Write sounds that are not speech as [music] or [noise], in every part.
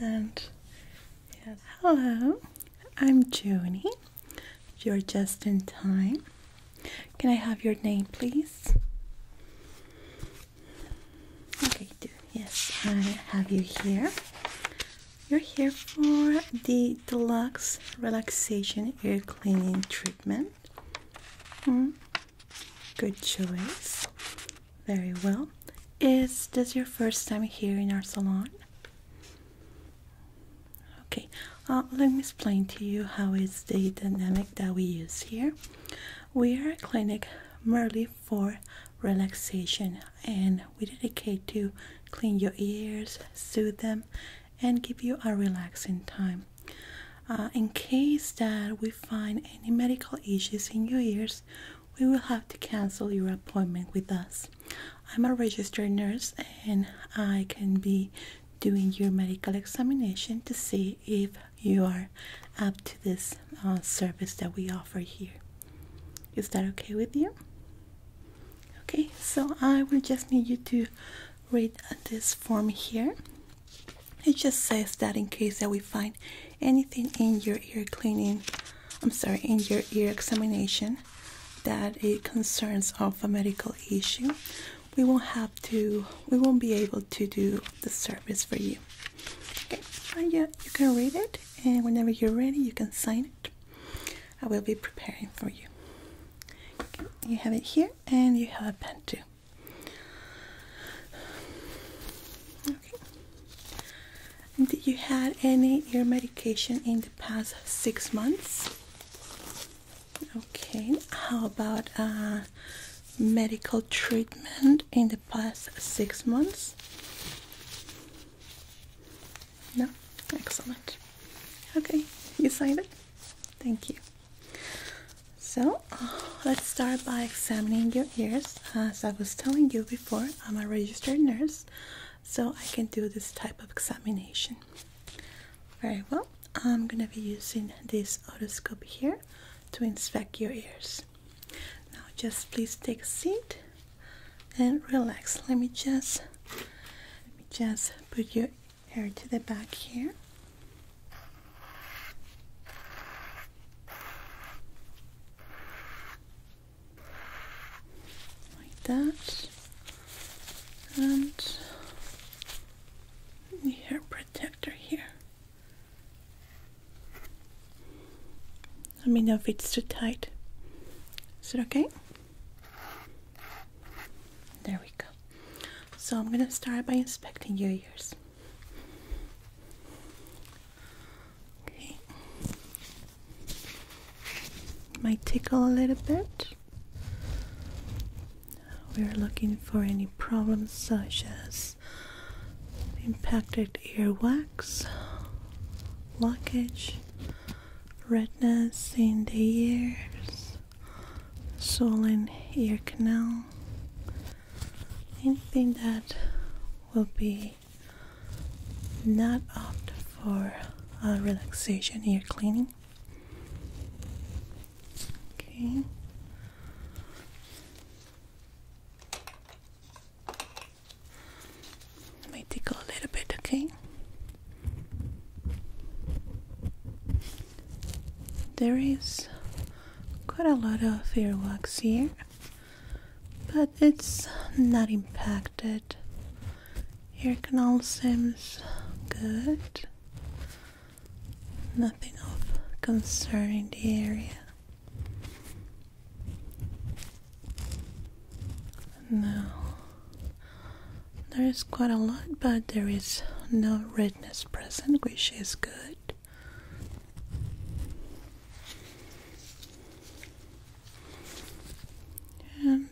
And yes, hello, I'm Joni. You're just in time. Can I have your name, please? Okay, do yes, I have you here. You're here for the deluxe relaxation ear cleaning treatment. Mm. Good choice. Very well. Is this your first time here in our salon? Okay, uh, let me explain to you how is the dynamic that we use here. We are a clinic merely for relaxation and we dedicate to clean your ears, soothe them, and give you a relaxing time. Uh, in case that we find any medical issues in your ears, we will have to cancel your appointment with us. I'm a registered nurse and I can be doing your medical examination to see if you are up to this uh, service that we offer here. Is that okay with you? Okay, so I will just need you to read this form here it just says that in case that we find anything in your ear cleaning i'm sorry in your ear examination that it concerns of a medical issue we won't have to we won't be able to do the service for you okay and you can read it and whenever you're ready you can sign it i will be preparing for you you have it here and you have a pen too. did you had any ear medication in the past six months? Okay. How about uh, medical treatment in the past six months? No. Excellent. Okay. You signed it. Thank you. So let's start by examining your ears. As I was telling you before, I'm a registered nurse, so I can do this type of examination. Very well, I'm gonna be using this otoscope here to inspect your ears. Now, just please take a seat and relax. Let me just let me just put your hair to the back here. Like that. And the hair protector here. Let me know if it's too tight. Is it okay? There we go. So I'm going to start by inspecting your ears. Okay. Might tickle a little bit. We're looking for any problems such as impacted earwax, blockage, redness in the ears, Solen ear canal, anything that will be not opt for a relaxation ear cleaning. Okay. Let me tickle a little bit, okay? There is quite a lot of earwax here, but it's not impacted. Ear canal seems good. Nothing of concern in the area. Now, there is quite a lot, but there is no redness present, which is good. And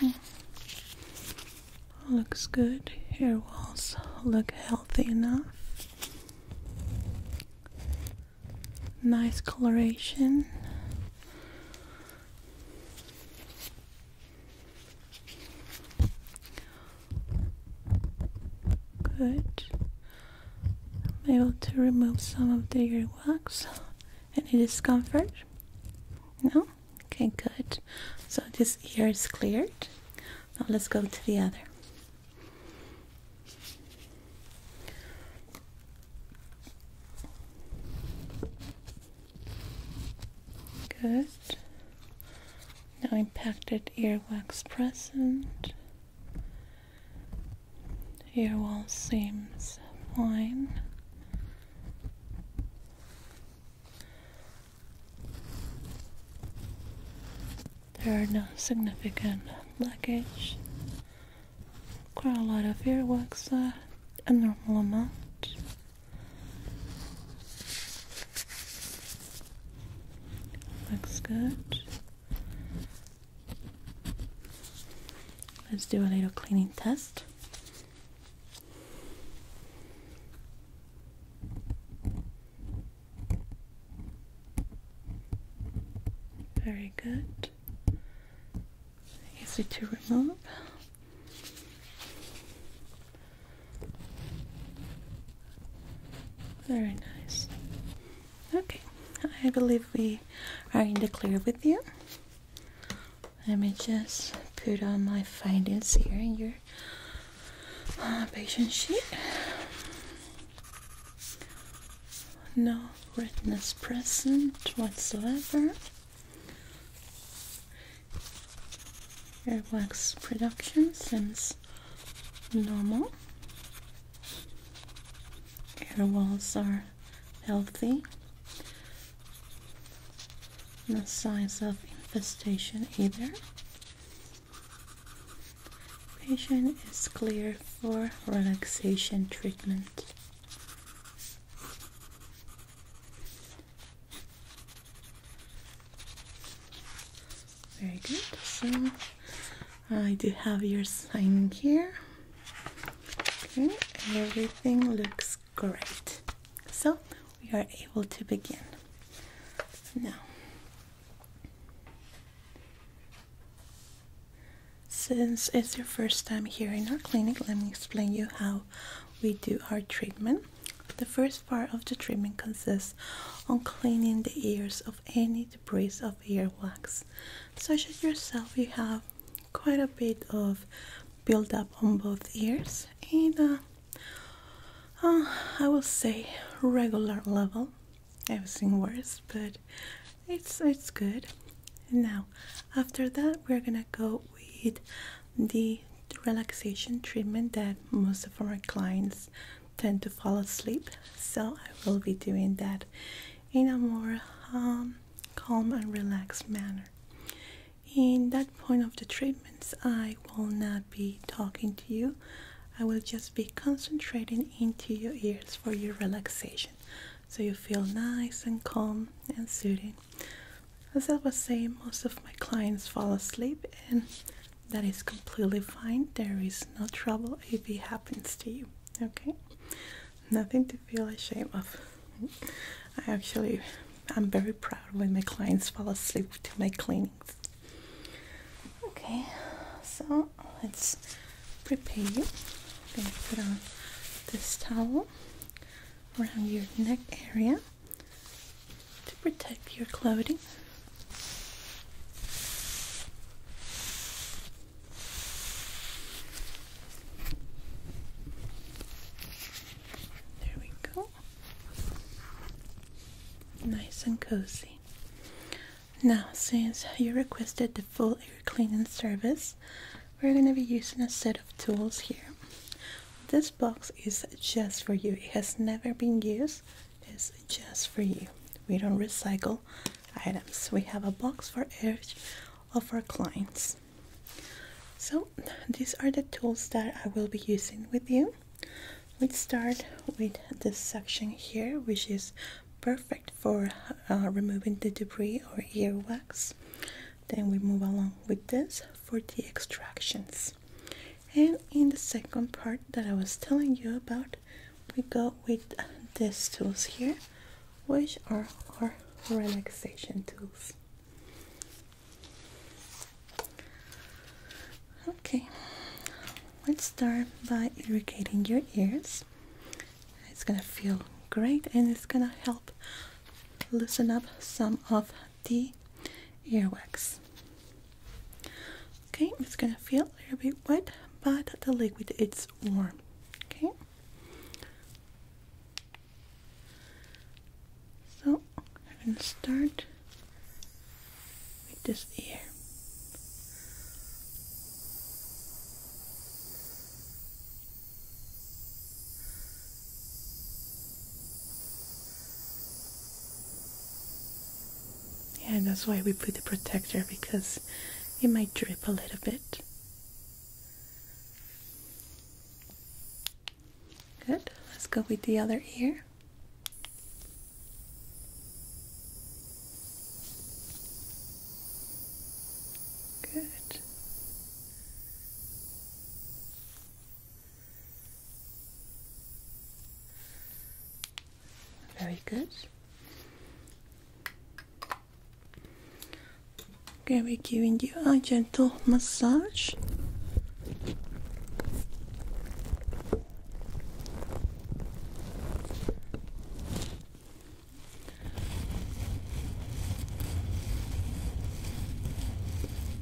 hmm, looks good. Hair walls look healthy enough. Nice coloration. Good. I'm able to remove some of the earwax. Any discomfort? No? Okay, good. So this ear is cleared. Now let's go to the other. Good. No impacted earwax present. Ear wall seems fine. There are no significant blockage. Quite a lot of earwax, uh, a normal amount. Looks good. Let's do a little cleaning test. Very good easy to remove. Very nice. Okay, I believe we are in the clear with you. Let me just put on my findings here in your uh, patient sheet. No redness present whatsoever. Earwax production seems normal. Ear walls are healthy. No signs of infestation either. Patient is clear for relaxation treatment. Very good. So I do have your sign here. Okay, everything looks great. So we are able to begin now. Since it's your first time here in our clinic, let me explain you how we do our treatment. The first part of the treatment consists on cleaning the ears of any debris of earwax. Such as yourself, you have quite a bit of buildup on both ears and uh, uh I will say regular level. I've seen worse, but it's it's good. Now, after that we're gonna go with the relaxation treatment that most of our clients tend to fall asleep so i will be doing that in a more um, calm and relaxed manner in that point of the treatments i will not be talking to you i will just be concentrating into your ears for your relaxation so you feel nice and calm and soothing as I was saying, most of my clients fall asleep, and that is completely fine. There is no trouble if it happens to you. Okay, nothing to feel ashamed of. I actually, I'm very proud when my clients fall asleep to my cleanings. Okay, so let's prepare you. I'm gonna put on this towel around your neck area to protect your clothing. There we go. Nice and cozy. Now, since you requested the full ear cleaning service, we're going to be using a set of tools here this box is just for you it has never been used it's just for you we don't recycle items we have a box for each of our clients so these are the tools that i will be using with you let's start with this section here which is perfect for uh, removing the debris or ear wax then we move along with this for the extractions and in the second part that I was telling you about we go with these tools here which are our relaxation tools okay let's start by irrigating your ears it's gonna feel great and it's gonna help loosen up some of the earwax. Okay, it's gonna feel a little bit wet, but the liquid it's warm. Okay. So I'm gonna start with this ear. Yeah, that's why we put the protector because it might drip a little bit. Good. Let's go with the other ear. Good. Very good. Okay, we're giving you a gentle massage.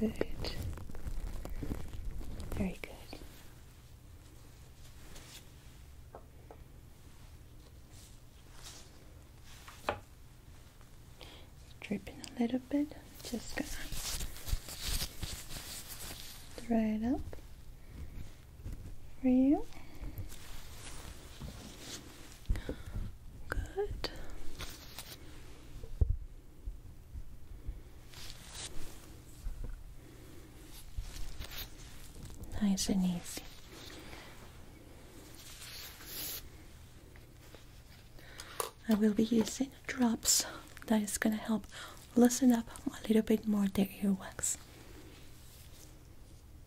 Good. Very good. Dripping a little bit. Just gonna dry it up for you. Good. Nice and easy. I will be using drops that is going to help loosen up a little bit more the earwax.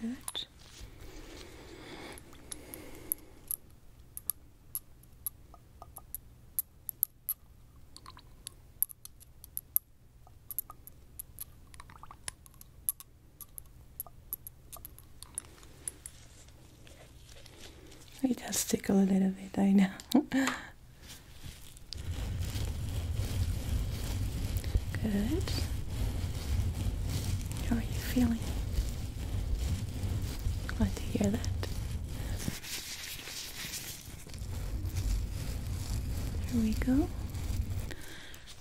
Good. We just tickle a little bit, I know. [laughs] Good. How are you feeling? Glad to hear that. Here we go.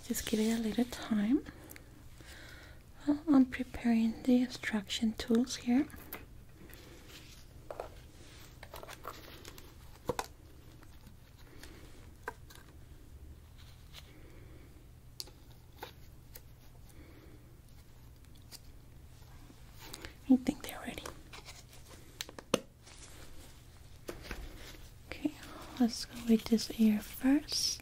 Just give it a little time. I'm preparing the extraction tools here. I think they're ready. Okay, let's go with this ear first.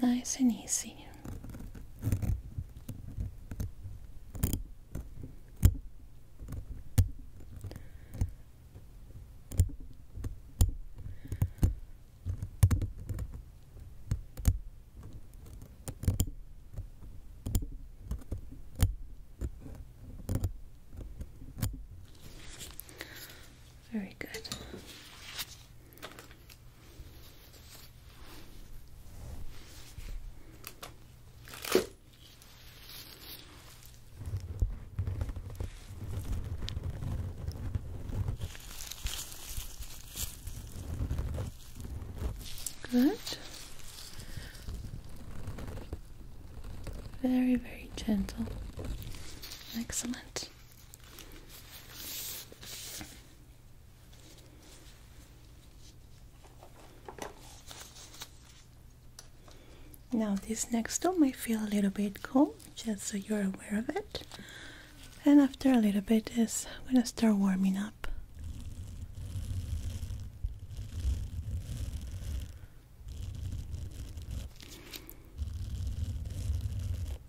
Nice and easy. Very good. Good. Very, very gentle. Excellent. Now this next one might feel a little bit cold, just so you're aware of it. And after a little bit is gonna start warming up.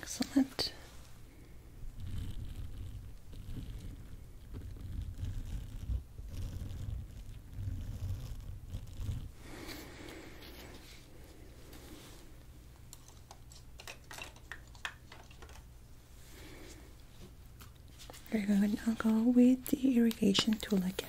Excellent. Very good. I'll go with the irrigation tool again.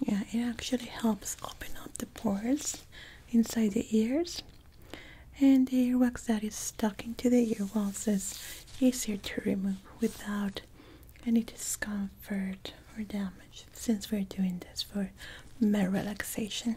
yeah it actually helps open up the pores inside the ears and the earwax that is stuck into the ear is easier to remove without any discomfort or damage since we're doing this for mere relaxation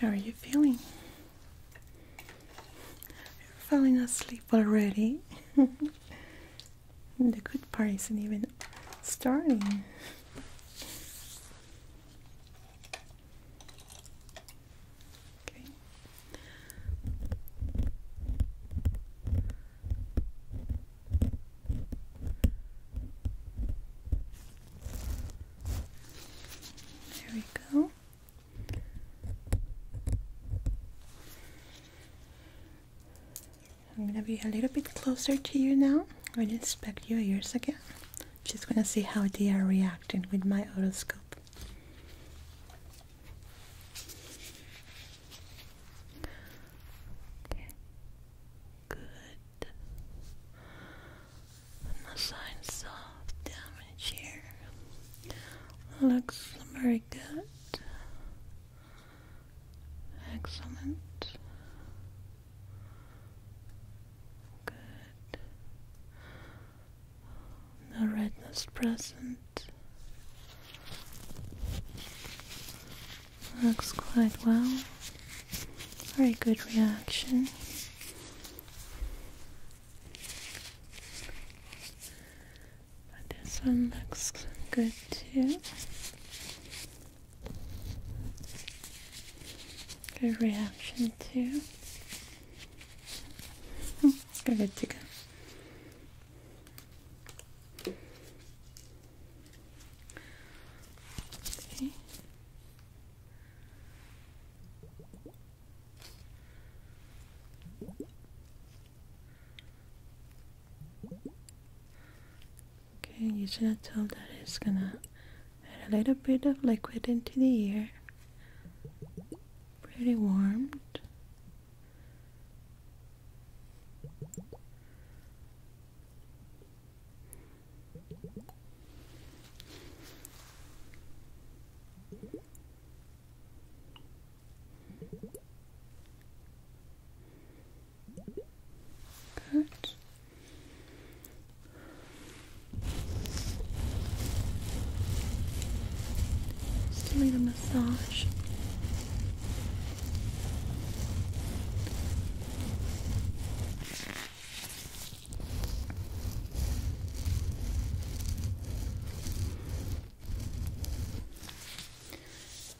How are you feeling? You're falling asleep already. [laughs] The good part isn't even starting. There we go. I'm gonna be a little bit closer to you now. I'm gonna inspect your ears again. Just gonna see how they are reacting with my otoscope. Okay. Good. No signs of damage here. Looks very good. Excellent. Good. No redness present. Looks quite well. Very good reaction. But this one looks good too. Good reaction too. Oh, good to go. Okay. Okay, usually I told that it's gonna add a little bit of liquid into the ear. Pretty warmed. Good. Just doing a massage.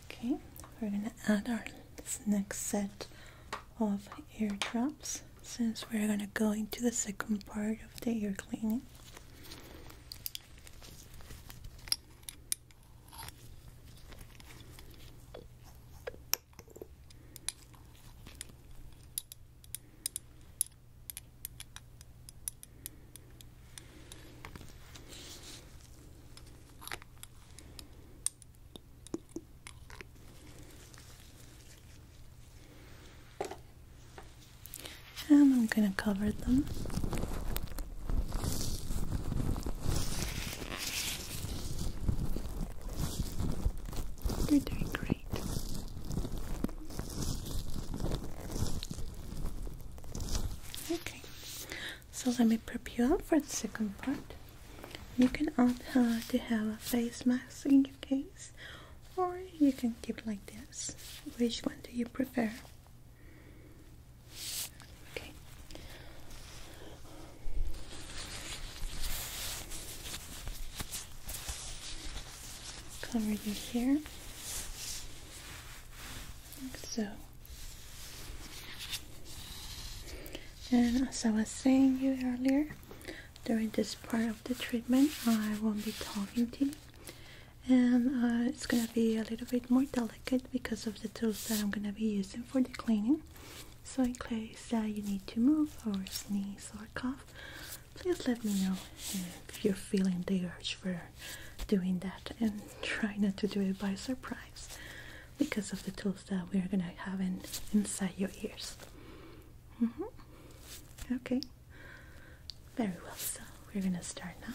Okay, we're going to add our next set of eardrops since we're going to go into the second part of the ear cleaning. And I'm going to cover them. You're doing great. Okay, so let me prep you up for the second part. You can opt uh, to have a face mask in your case, or you can keep like this. Which one do you prefer? Okay. Cover your hair so. And as I was saying you earlier, during this part of the treatment, I won't be talking to you. And uh, it's gonna be a little bit more delicate because of the tools that I'm gonna be using for the cleaning. So in case that you need to move or sneeze or cough, please let me know if you're feeling the urge for doing that and try not to do it by surprise because of the tools that we're gonna have in, inside your ears. Mm-hmm. Okay, very well. So we're gonna start now.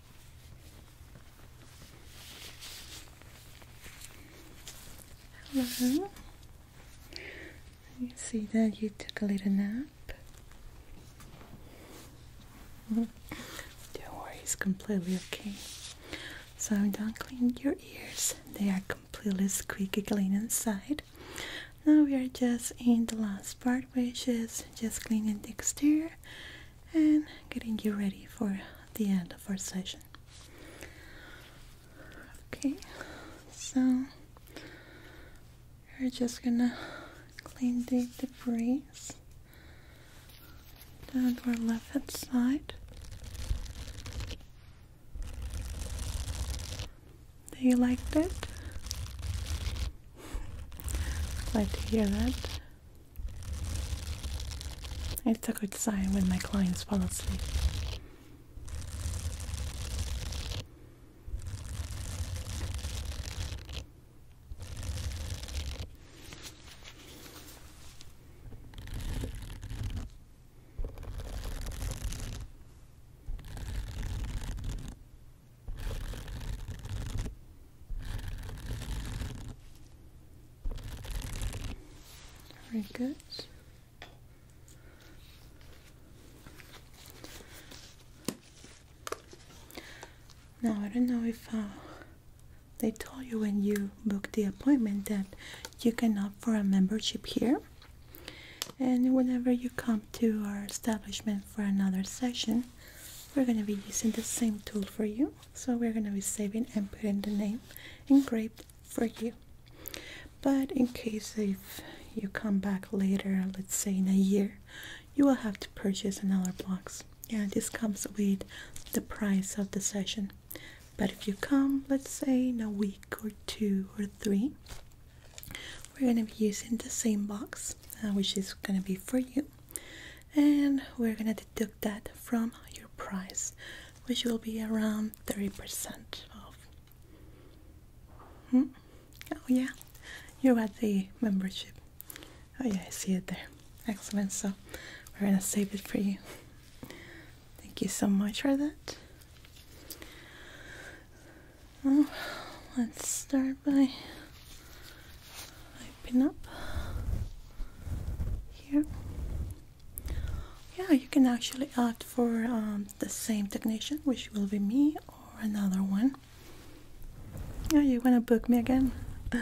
Hello. You see that you took a little nap. Don't worry, it's completely okay. So I'm done cleaning your ears. They are completely squeaky clean inside. Now we are just in the last part, which is just cleaning the exterior and getting you ready for the end of our session. Okay, so we're just gonna clean the debris down to our left hand side. Do you like that? Glad [laughs] to hear that. It's a good sign when my clients fall asleep. Very good. Now, I don't know if uh, they told you when you booked the appointment that you can opt for a membership here. And whenever you come to our establishment for another session, we're going to be using the same tool for you so we're going to be saving and putting the name engraved for you but in case if you come back later let's say in a year you will have to purchase another box yeah this comes with the price of the session but if you come let's say in a week or two or three we're going to be using the same box uh, which is going to be for you and we're gonna deduct that from your price which will be around 30% off hmm? oh yeah you're at the membership oh yeah i see it there excellent so we're gonna save it for you thank you so much for that oh, let's start by open up here. Yeah, you can actually opt for um, the same technician, which will be me or another one. Yeah, you want to book me again? [laughs]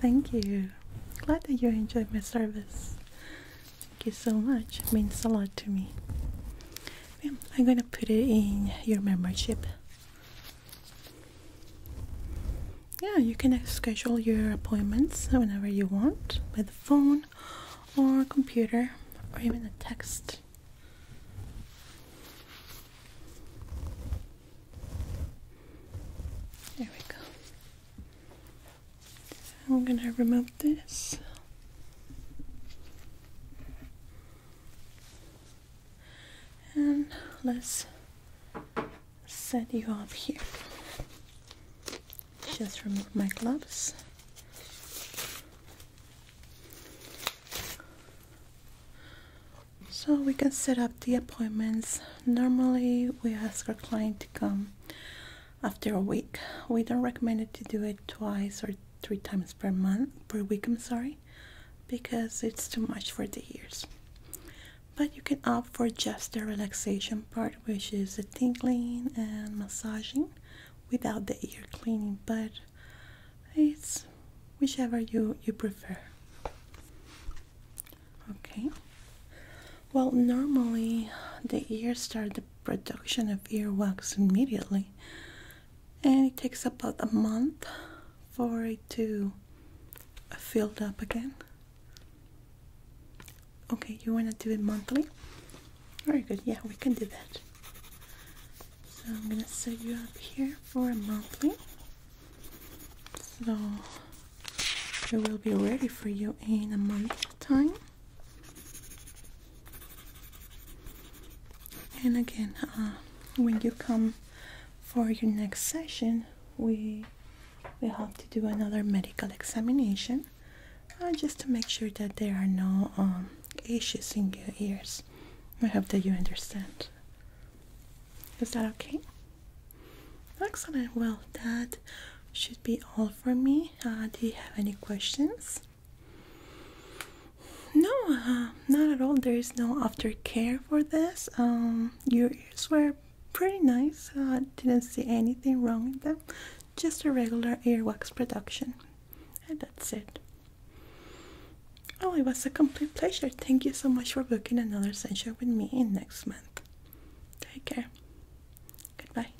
Thank you. Glad that you enjoyed my service. Thank you so much. It means a lot to me. I'm going to put it in your membership yeah, you can schedule your appointments whenever you want with phone or computer or even a text. There we go. I'm going to remove this. And let's set you up here. Just remove my gloves. So we can set up the appointments. Normally we ask our client to come after a week. We don't recommend it to do it twice or three times per month per week, I'm sorry, because it's too much for the ears but you can opt for just the relaxation part which is the tingling and massaging without the ear cleaning but it's whichever you you prefer okay well normally the ears start the production of earwax immediately and it takes about a month for it to fill up again Okay, you want to do it monthly? Very good, yeah, we can do that. So I'm gonna set you up here for a monthly. So it will be ready for you in a month's time. And again, uh, when you come for your next session, we will have to do another medical examination uh, just to make sure that there are no um, issues in your ears. I hope that you understand. Is that okay? Excellent. Well, that should be all for me. Uh, do you have any questions? No, uh, not at all. There is no aftercare for this. Um, your ears were pretty nice. I didn't see anything wrong with them. Just a regular earwax production. And that's it. Oh, it was a complete pleasure. Thank you so much for booking another session with me in next month. Take care. Goodbye.